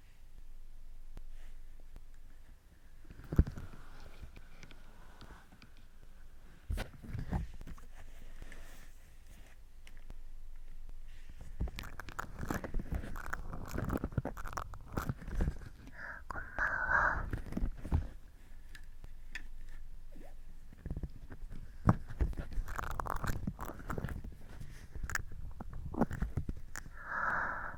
こん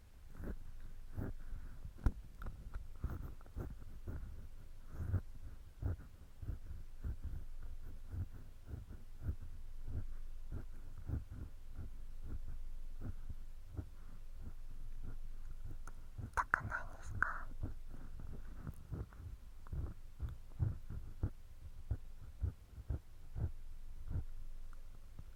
痛くないですか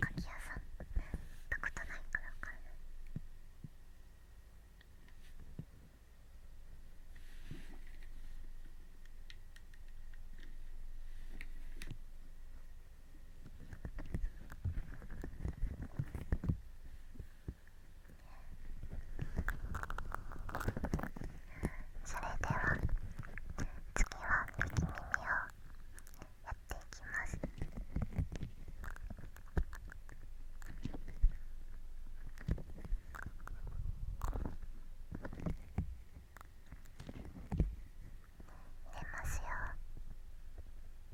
かき屋さんたことないから分かんないそれでは次は右耳をやっていきます。入れますよ。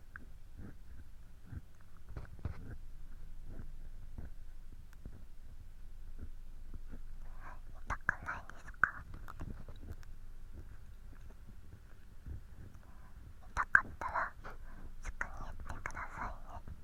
痛くないですか痛かったらすぐに言ってくださいね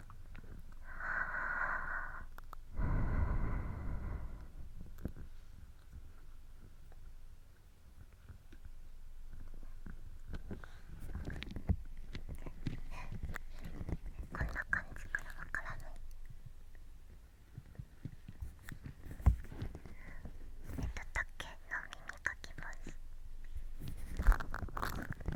はこんな感じからわからないえっと竹の耳かきます…。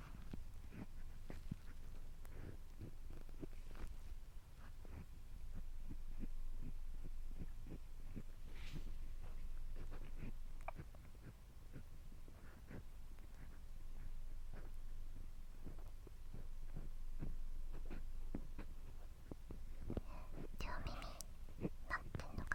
両耳なってんのか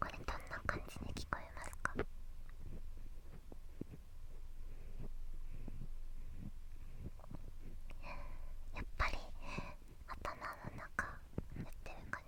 これどんな感じに聞こえますかやっぱり頭の中塗ってる感じ。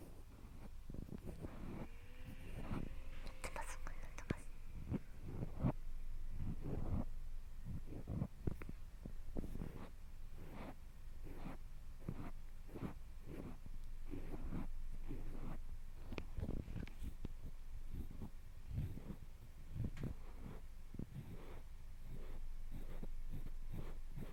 ってますこれってます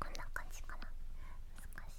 こんな感じかな難しい。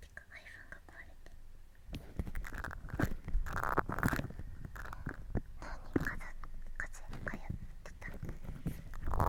てか iPhone が壊れた何かだ風がやってたあ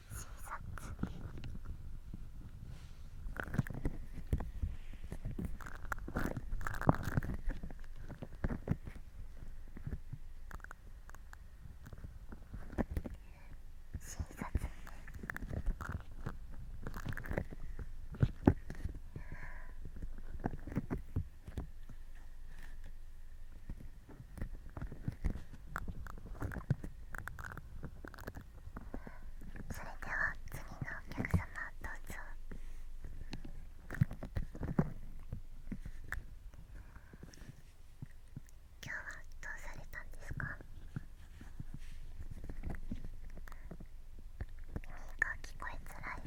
小さく。それでは次のお客様どうぞ今日はどうされたんですか耳が聞こえづらい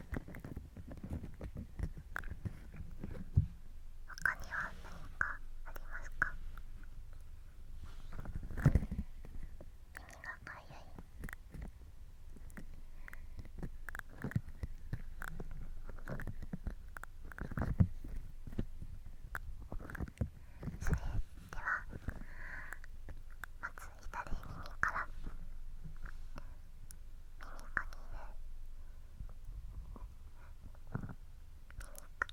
他には何かありますか耳がかゆいそれではまず左耳から耳かきで耳か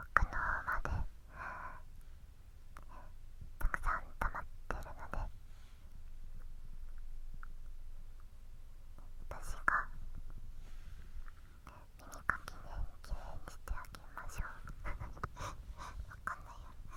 奥の泡でたくさん溜まってるので私が耳かきできれにしてあげましょうわかんないよ耳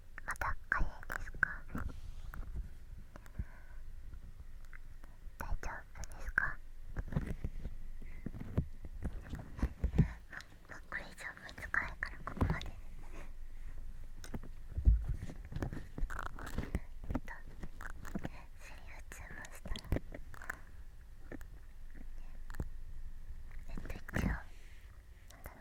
まだ早いですか大丈夫ですかま、これ以上難いからここまでえっとセリフ注文したらえっと一応なんだろう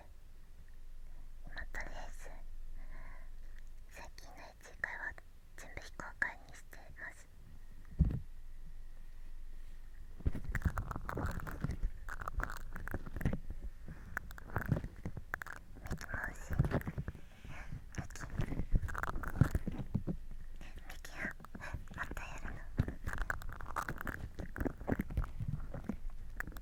でまたです最近の次会は全部非公開にしていますミキマウスミキミキはまたやるの。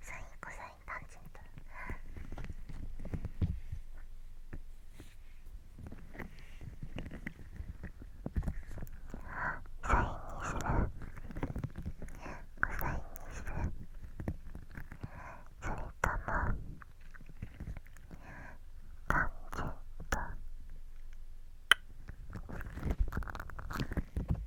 サインコサインタンジェントサインにするコサインにするそれともタンジェント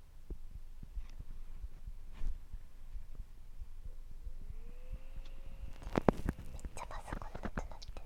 めっちゃパソコンなくなってる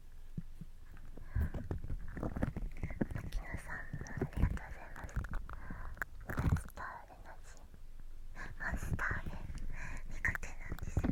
さんありがとうございますマスターレナジマスターレ苦手なんですよ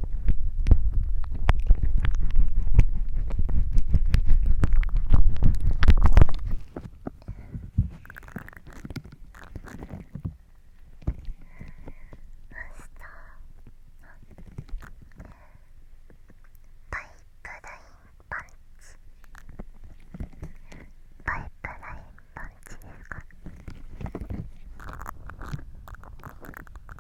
パイプラインパンチパイプラインパンチですか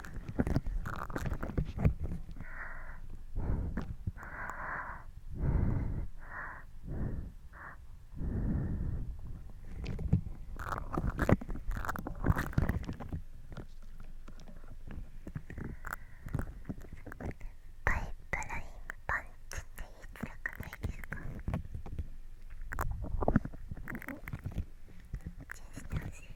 パイプラインパンチって言いづらくないですか注意してほしい。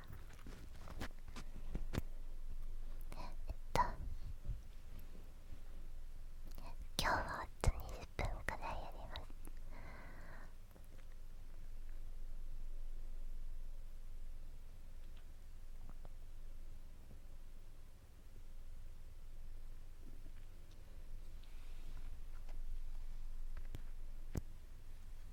えっと今日はあと20分くらいやりますえっ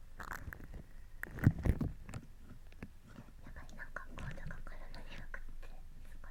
やばいなんかコードが体になくてすごい。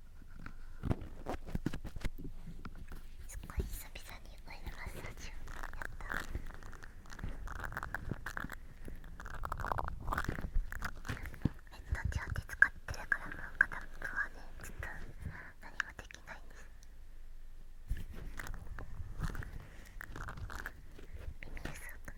すごい久々にオイルマッサージをやったネット上で使ってるからもう片方はねちょっと何もできないんです耳うすをくっと。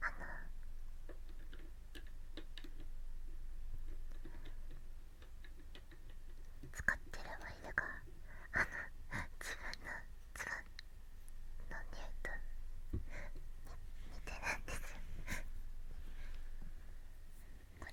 あの使ってるワイヤがあの自分の唾の匂いに、似てるんですよこれ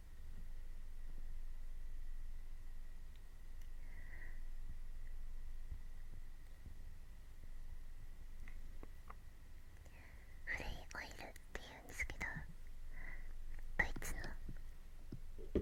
フレイオイルっていうんですけどドいつのこれ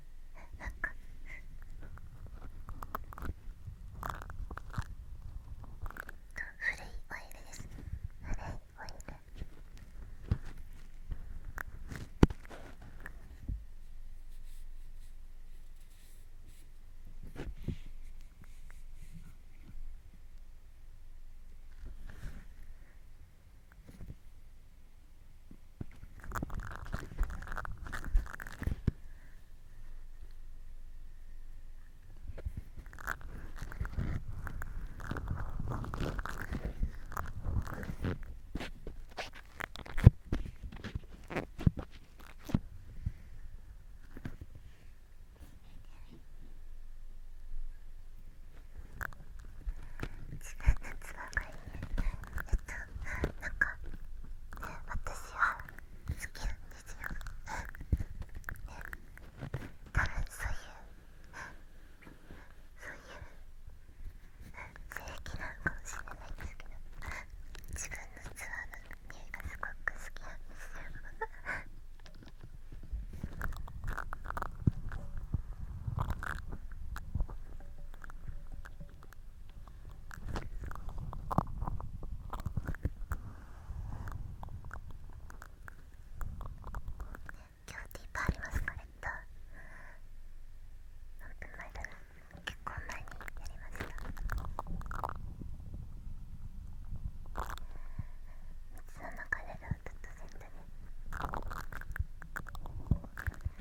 なんか古いオイです古いオイル一番夏場がいいねえっとなんかね私は好きなんですよね多分そういうそういう正義なのかもしれないんですけど自分のツアーの匂いがすごく好きなんですよ今日ティーパーありますかえっと何分前だろ結婚前にやりました水の中で歌うとセットで。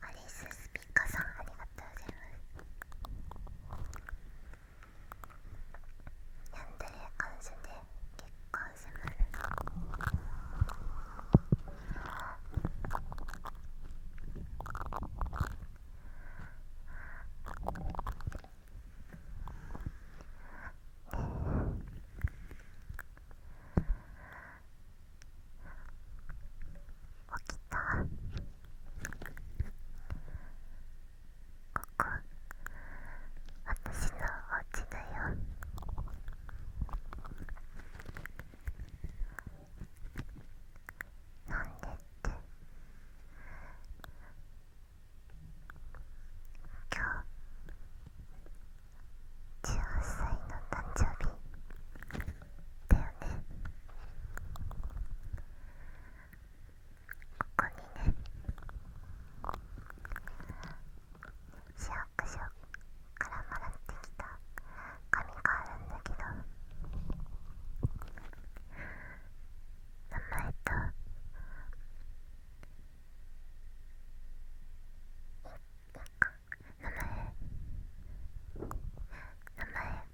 アリススピカさんありがとうございますヤンデレ感謝で結婚しますねえ、起きたここ私のお家だよなんでって今日18歳の誕生日だよねここにね市役所からもらってきた紙があるんだけど名前と名前名前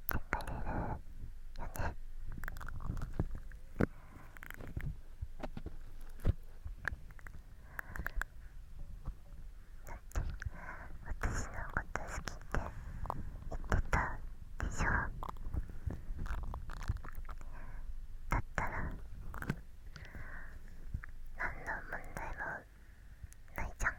頑張れるよね。だって私のこと好きって言ってたでしょだったら何の問題もないじゃん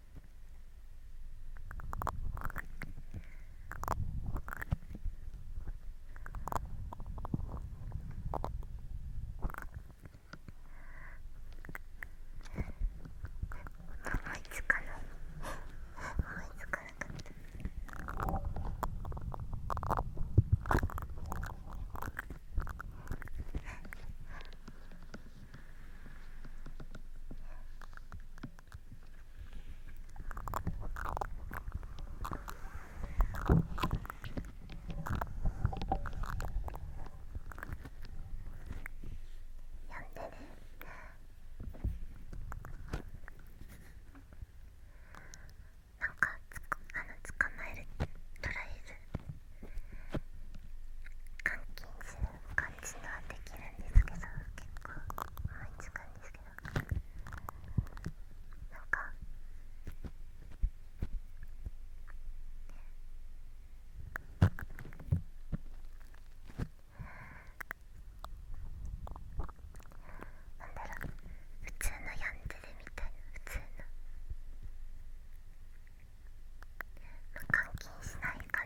いつかな思やん。でねなんかつあの捕まえるって、とりあえず監禁する感じのはできるんですけど結構思いつくんですけどなんかなんだろう普通のヤンデレみたいな普通の。まあ、監禁しない感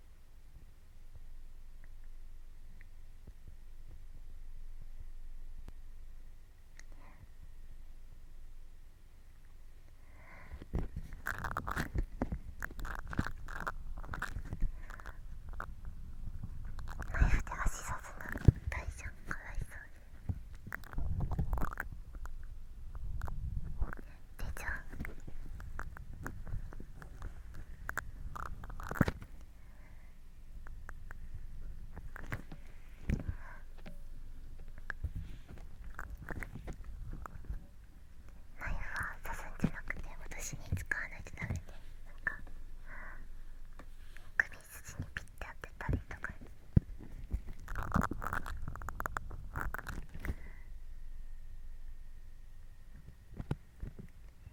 ナイフで足さずなの大ちゃんかわいそうに手ちゃんナイフは刺すんじゃなくて私に使わないとダメでなんか首筋にピッて当てたりとか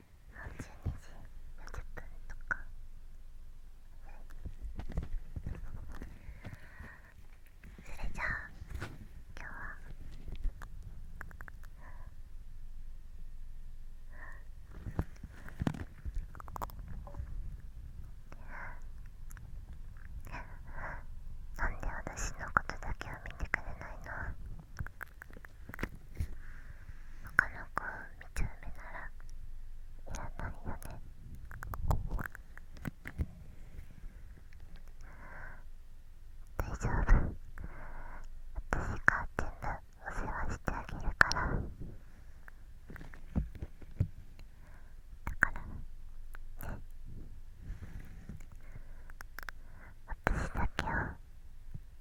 12時40分とかそれじゃあ今日はなんで私のことだけは見てくれないの他の子を見ちゃう目ならいらないよね大丈夫私が全部お世話してあげるからだからね私だけを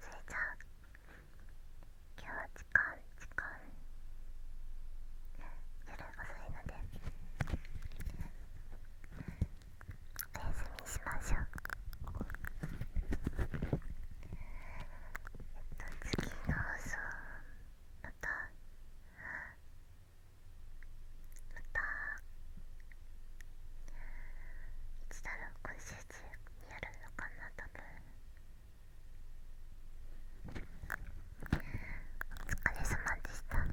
それじゃあ今日は時間時間夜遅いのでお休みしましょうえっと次の放送またまたいつだろう今週中にやるのかな多分お疲れ様でした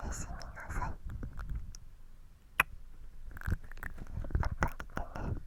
おやすみなさいまた来てね